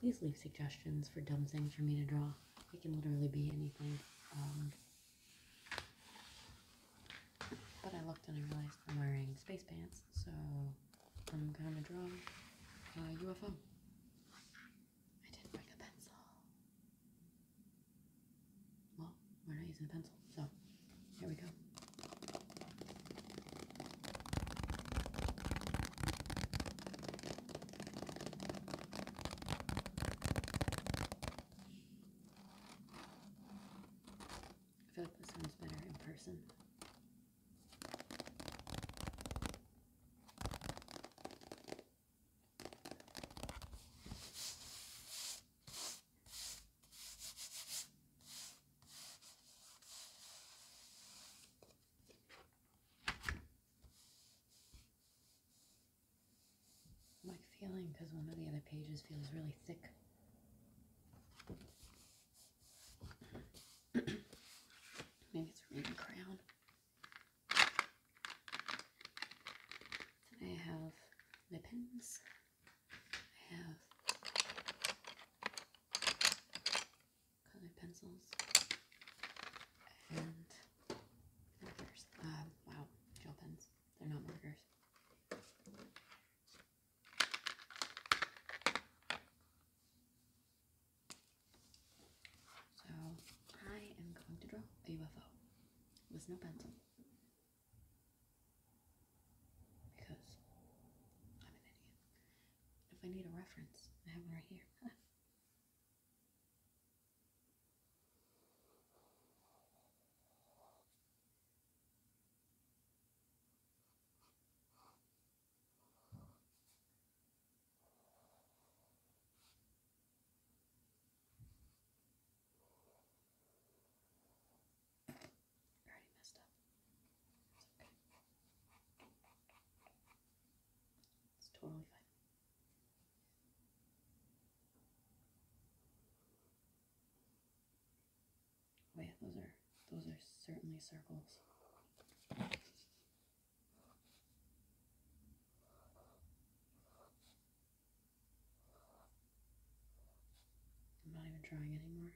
Please leave suggestions for dumb things for me to draw. It can literally be anything. Um, but I looked and I realized I'm wearing space pants, so I'm gonna draw a UFO. I didn't bring a pencil. Well, we're not using a pencil, so here we go. I feel like this one's better in person. I'm like feeling because one of the other pages feels really thick. Maybe it's reading crown. I have my pens. I have colored pencils, markers. Um, wow, gel pens. They're not markers. So I am going to draw a UFO with no pencil. Because I'm an idiot. If I need a reference, I have one right here. already messed up. It's totally fine. Oh those are those are certainly circles. I'm not even trying anymore.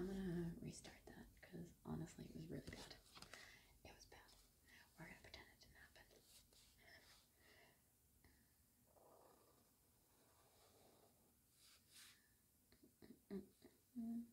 I'm gonna restart that because honestly, it was really bad. It was bad. We're gonna pretend it didn't happen. Mm, mm, mm,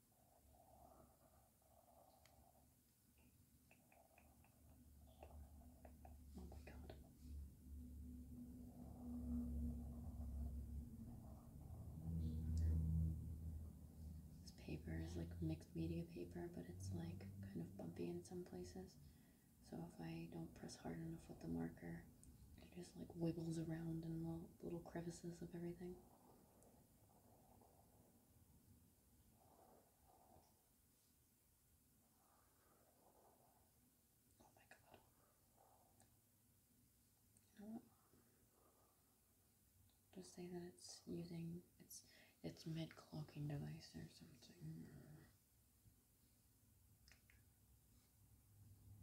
Oh my God. This paper is like mixed media paper, but it's like kind of bumpy in some places. So if I don't press hard enough with the marker, it just like wiggles around in the little crevices of everything. Just say that it's using it's it's mid clocking device or something.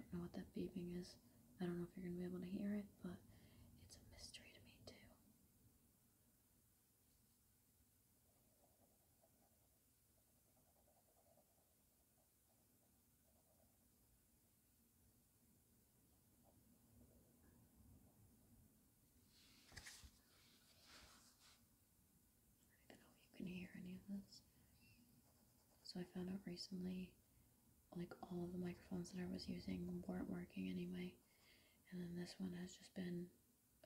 I don't know what that beeping is. I don't know if you're going to be able to hear it, but it's a mystery to me, too. I don't know if you can hear any of this. So I found out recently, like all of the microphones that I was using weren't working anyway, and then this one has just been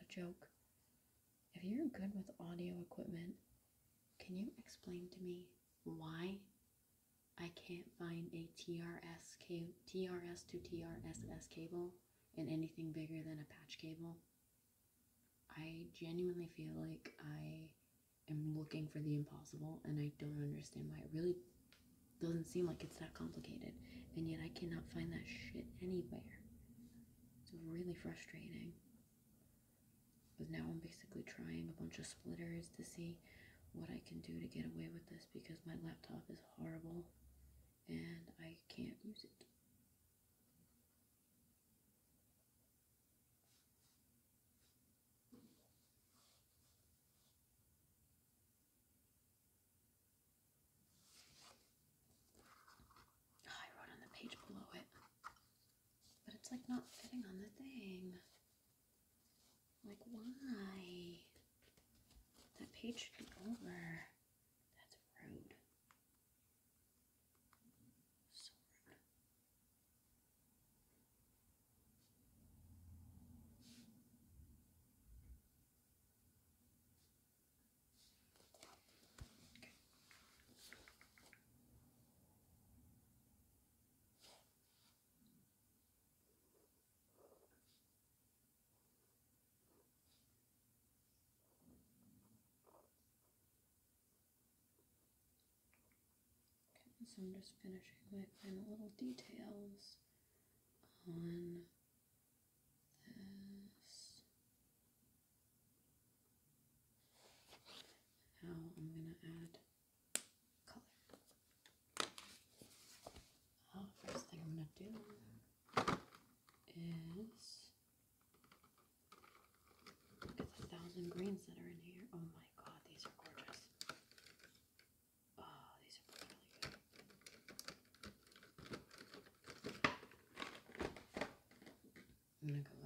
a joke. If you're good with audio equipment, can you explain to me why I can't find a TRS, to TRSS cable and anything bigger than a patch cable, I genuinely feel like I am looking for the impossible and I don't understand why. It really doesn't seem like it's that complicated, and yet I cannot find that shit anywhere. It's really frustrating. But now I'm basically trying a bunch of splitters to see what I can do to get away with this because my laptop is horrible and I can't use it. Ah, I wrote on the page below it, but it's like not fitting on the thing. Like, why? That page should be over. That's rude. Okay so I'm just finishing my final little details on this. Now I'm going to add color. Uh, first thing I'm going to do is it's a thousand greens that are in here. Oh my god, these are gorgeous. Oh, these are really good. I'm gonna green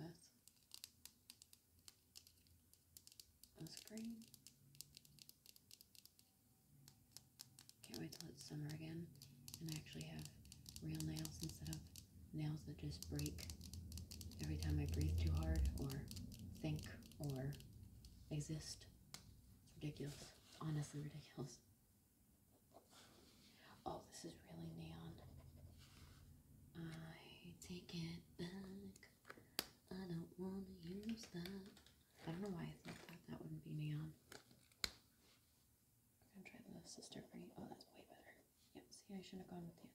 can't wait till it's summer again and I actually have real nails instead of nails that just break every time I breathe too hard or think or exist. It's ridiculous. honestly ridiculous. Oh, this is really neon. I take it back. I don't want to use that. I don't know why I thought that. That wouldn't be neon. I'm gonna try the sister green. Oh, that's way better. Yep, see, I should have gone with the other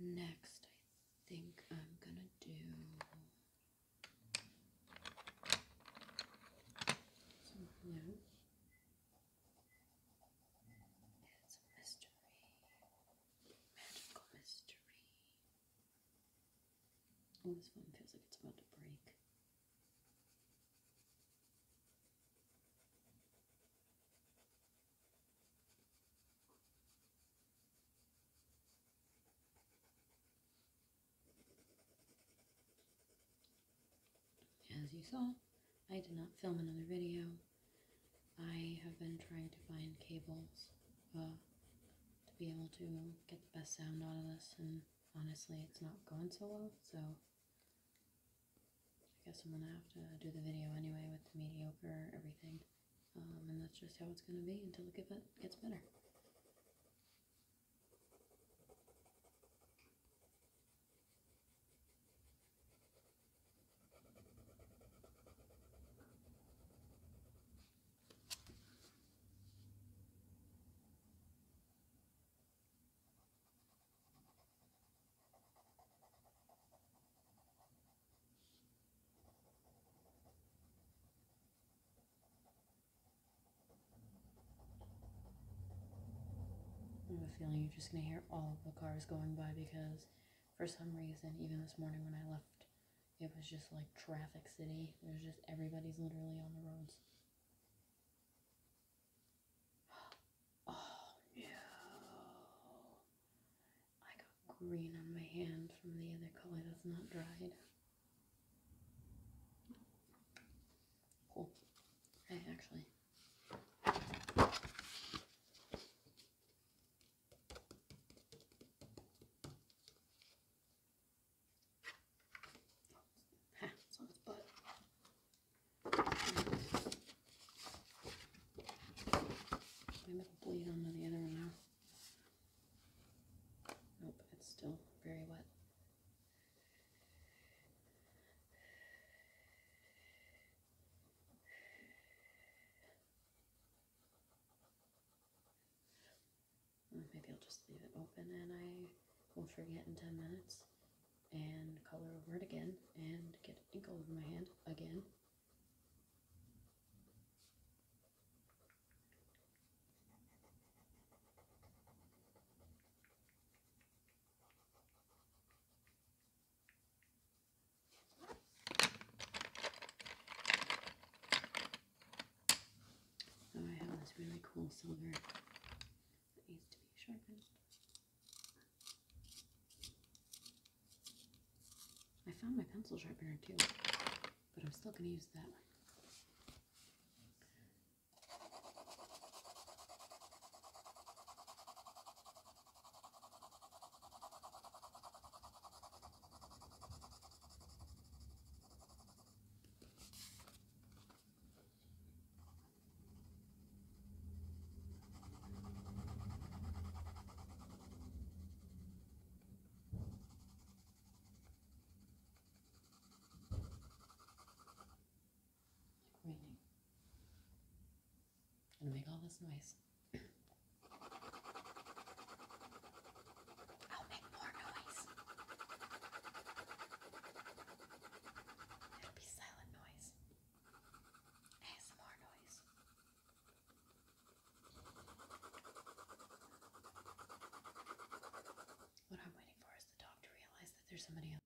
Next, I think I'm gonna do It's a mystery, magical mystery. Oh, this one feels like it's about to break. As you saw, I did not film another video. I have been trying to find cables to be able to get the best sound out of this, and honestly, it's not going so well, so I guess I'm gonna have to do the video anyway with the mediocre everything, um, and that's just how it's gonna be until it gets better. I have a feeling you're just going to hear all of the cars going by because for some reason, even this morning when I left it was just like traffic city. There's just everybody's literally on the roads. Oh no. I got green on my hand from the other color that's not dried. Cool. I actually. Ah, it's on its butt. Maybe it bleed onto the other one now. Nope, it's still very wet maybe I'll just leave it open and I will forget in 10 minutes and color over it again and get ink all over my hand again. So oh, I have this really cool silver that needs to be sharpened. I found my pencil sharpener too, but I'm still going to use that. Raining. And make all this noise. I'll make more noise. It'll be silent noise. ASMR noise. What I'm waiting for is the dog to realize that there's somebody outside.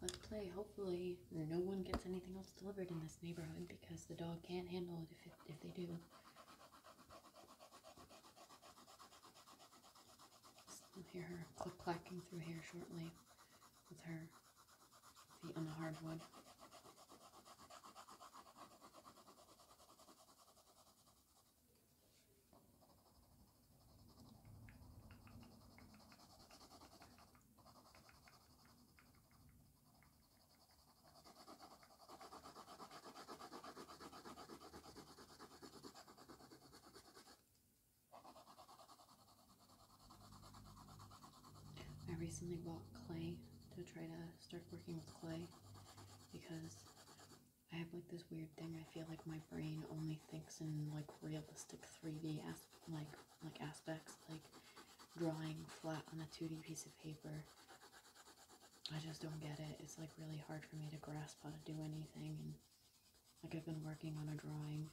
Let's play. Hopefully, no one gets anything else delivered in this neighborhood because the dog can't handle it if, if they do. I'll hear her click clacking through here shortly with her feet on the hardwood. I recently bought clay to try to start working with clay because I have like this weird thing. I feel like my brain only thinks in like realistic 3D, like like aspects like drawing flat on a 2D piece of paper. I just don't get it. It's like really hard for me to grasp how to do anything and like I've been working on a drawing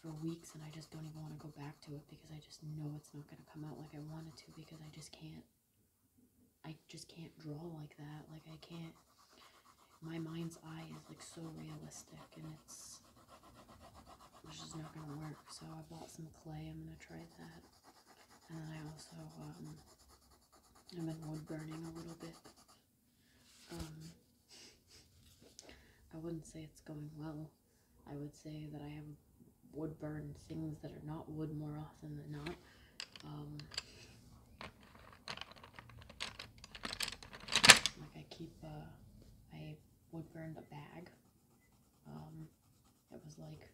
for weeks and I just don't even want to go back to it because I just know it's not going to come out like I wanted to because I just can't I just can't draw like that. Like I can't my mind's eye is like so realistic and it's this is not going to work. So I bought some clay. I'm going to try that. And then I also, i am um, been wood burning a little bit. Um, I wouldn't say it's going well. I would say that I have wood burned things that are not wood more often than not. Um, like I keep, uh, I wood the bag. Um, it was like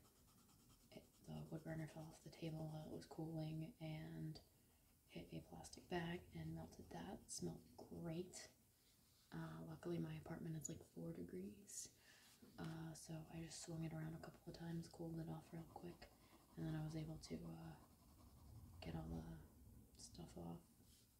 the wood burner fell off the table while it was cooling and hit a plastic bag and melted that. It smelled great. Uh, luckily, my apartment is like four degrees, uh, so I just swung it around a couple of times, cooled it off real quick, and then I was able to uh, get all the stuff off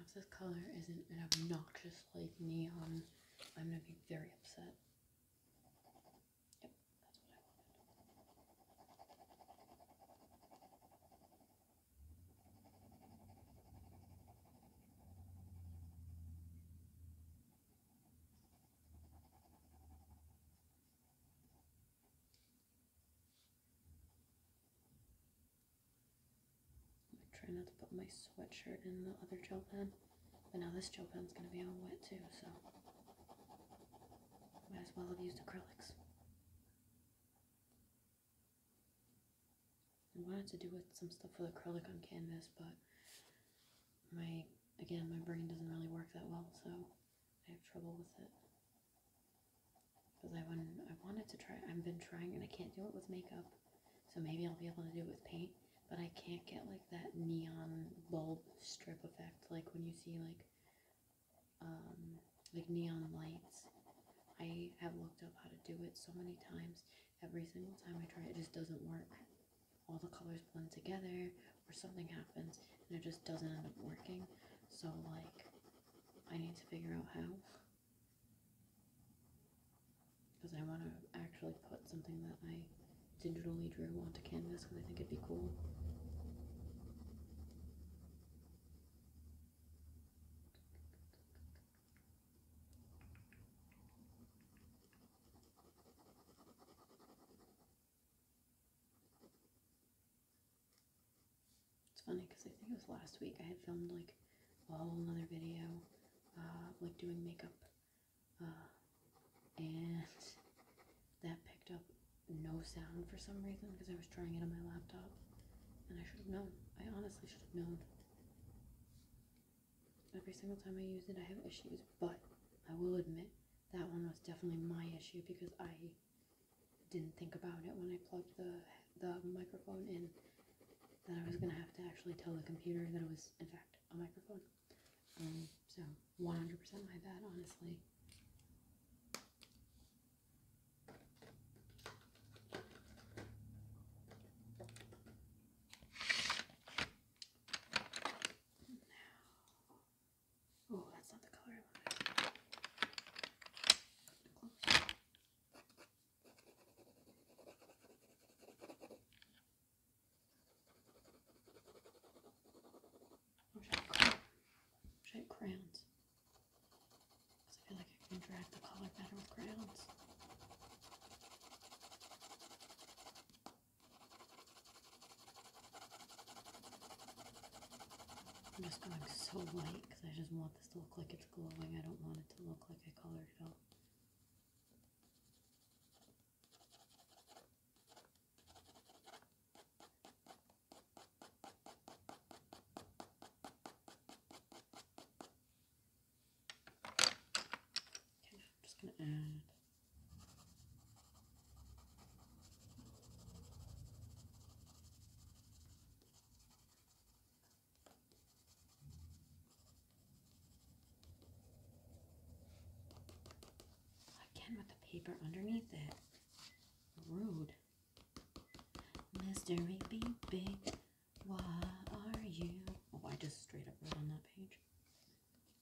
if this color isn't an obnoxious, like, neon, I'm gonna be very upset. Yep, that's what I wanted. I try not to put my sweatshirt in the other gel pen, but now this gel pen's gonna be all wet too, so might as well have used acrylics. I wanted to do some stuff with acrylic on canvas, but my again my brain doesn't really work that well, so I have trouble with it. Because I want I wanted to try I've been trying and I can't do it with makeup. So maybe I'll be able to do it with paint, but I can't get like that neon bulb strip effect like when you see like um like neon lights. I have looked up how to do it so many times. Every single time I try it, it just doesn't work all the colors blend together or something happens and it just doesn't end up working. So, like, I need to figure out how. Because I want to actually put something that I digitally drew onto canvas because I think it'd be cool. It's funny because I think it was last week I had filmed like a whole other video, uh, like doing makeup, uh, and that picked up no sound for some reason because I was trying it on my laptop, and I should have known. I honestly should have known. Every single time I use it, I have issues, but I will admit that one was definitely my issue because I didn't think about it when I plugged the the microphone in that I was gonna have to actually tell the computer that it was in fact a microphone. Um, so 100% my bad, honestly. Oh, that's not the color I wanted. Close. crayons. Because I feel like I can drag the color better with crayons. I'm just going so light because I just want this to look like it's glowing. I don't want it to look like I colored it out. Okay, I'm just going to add Again with the paper underneath it. Rude. Mystery be big. Why are you? Oh, I just straight up wrote on that page.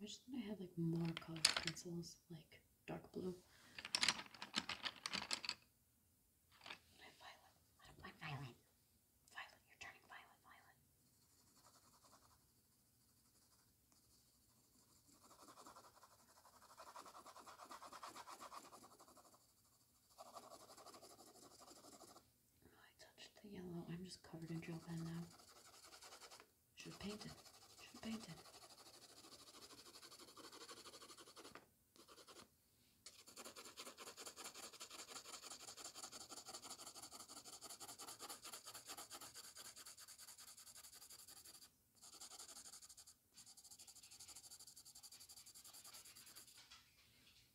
I just thought I had like more colored pencils, like dark blue. My violet. I don't like violet. Violet, you're turning violet, violet. I touched the yellow. I'm just covered in gel pen now. Should have painted. Should have painted.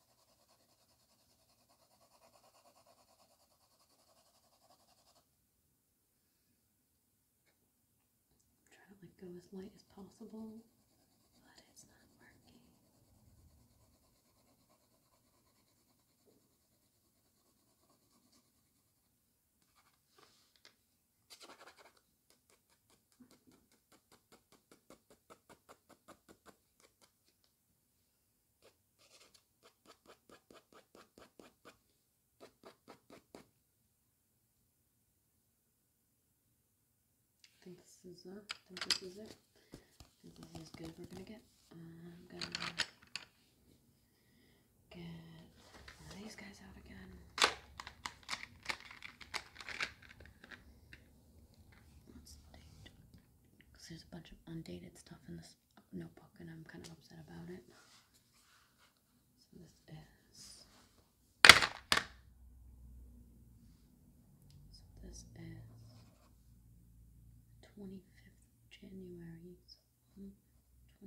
I'm trying to like go as light as possible, but it's not working. I think this is uh, I think this is it. I think this is good as we're gonna get. I'm gonna get these guys out again because there's a bunch of undated stuff in this notebook and I'm kind of upset about it. So this is. So this is 25th January, so hmm,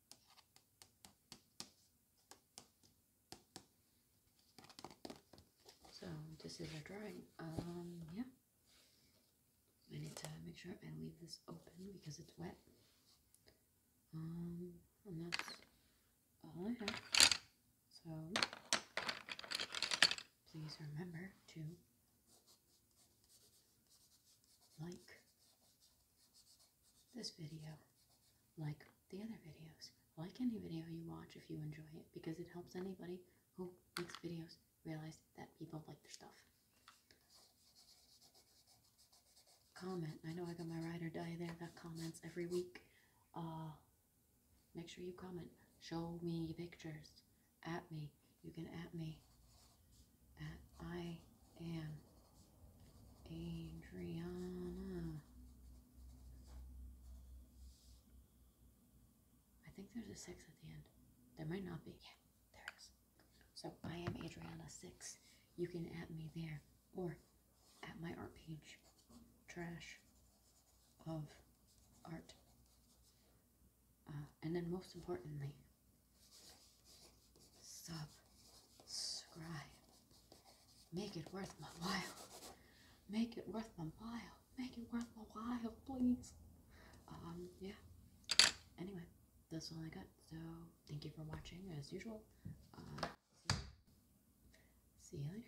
So this is our drawing. Um, yeah. I need to make sure I leave this open because it's wet. Um, and that's all I have. So please remember to like, this video, like the other videos, like any video you watch if you enjoy it, because it helps anybody who makes videos realize that people like their stuff. Comment. I know I got my ride or die there Got comments every week. Uh, make sure you comment. Show me pictures. At me. You can at me. At I am Adriana. I think there's a six at the end. There might not be. Yeah, there is. So I am Adriana6. You can add me there or at my art page. Trash of art. Uh, and then most importantly, Subscribe. Make it worth my while. Make it worth my while. Make it worth my while, please. Um, yeah. Anyway, that's all I got. So, thank you for watching as usual. Uh, see you later.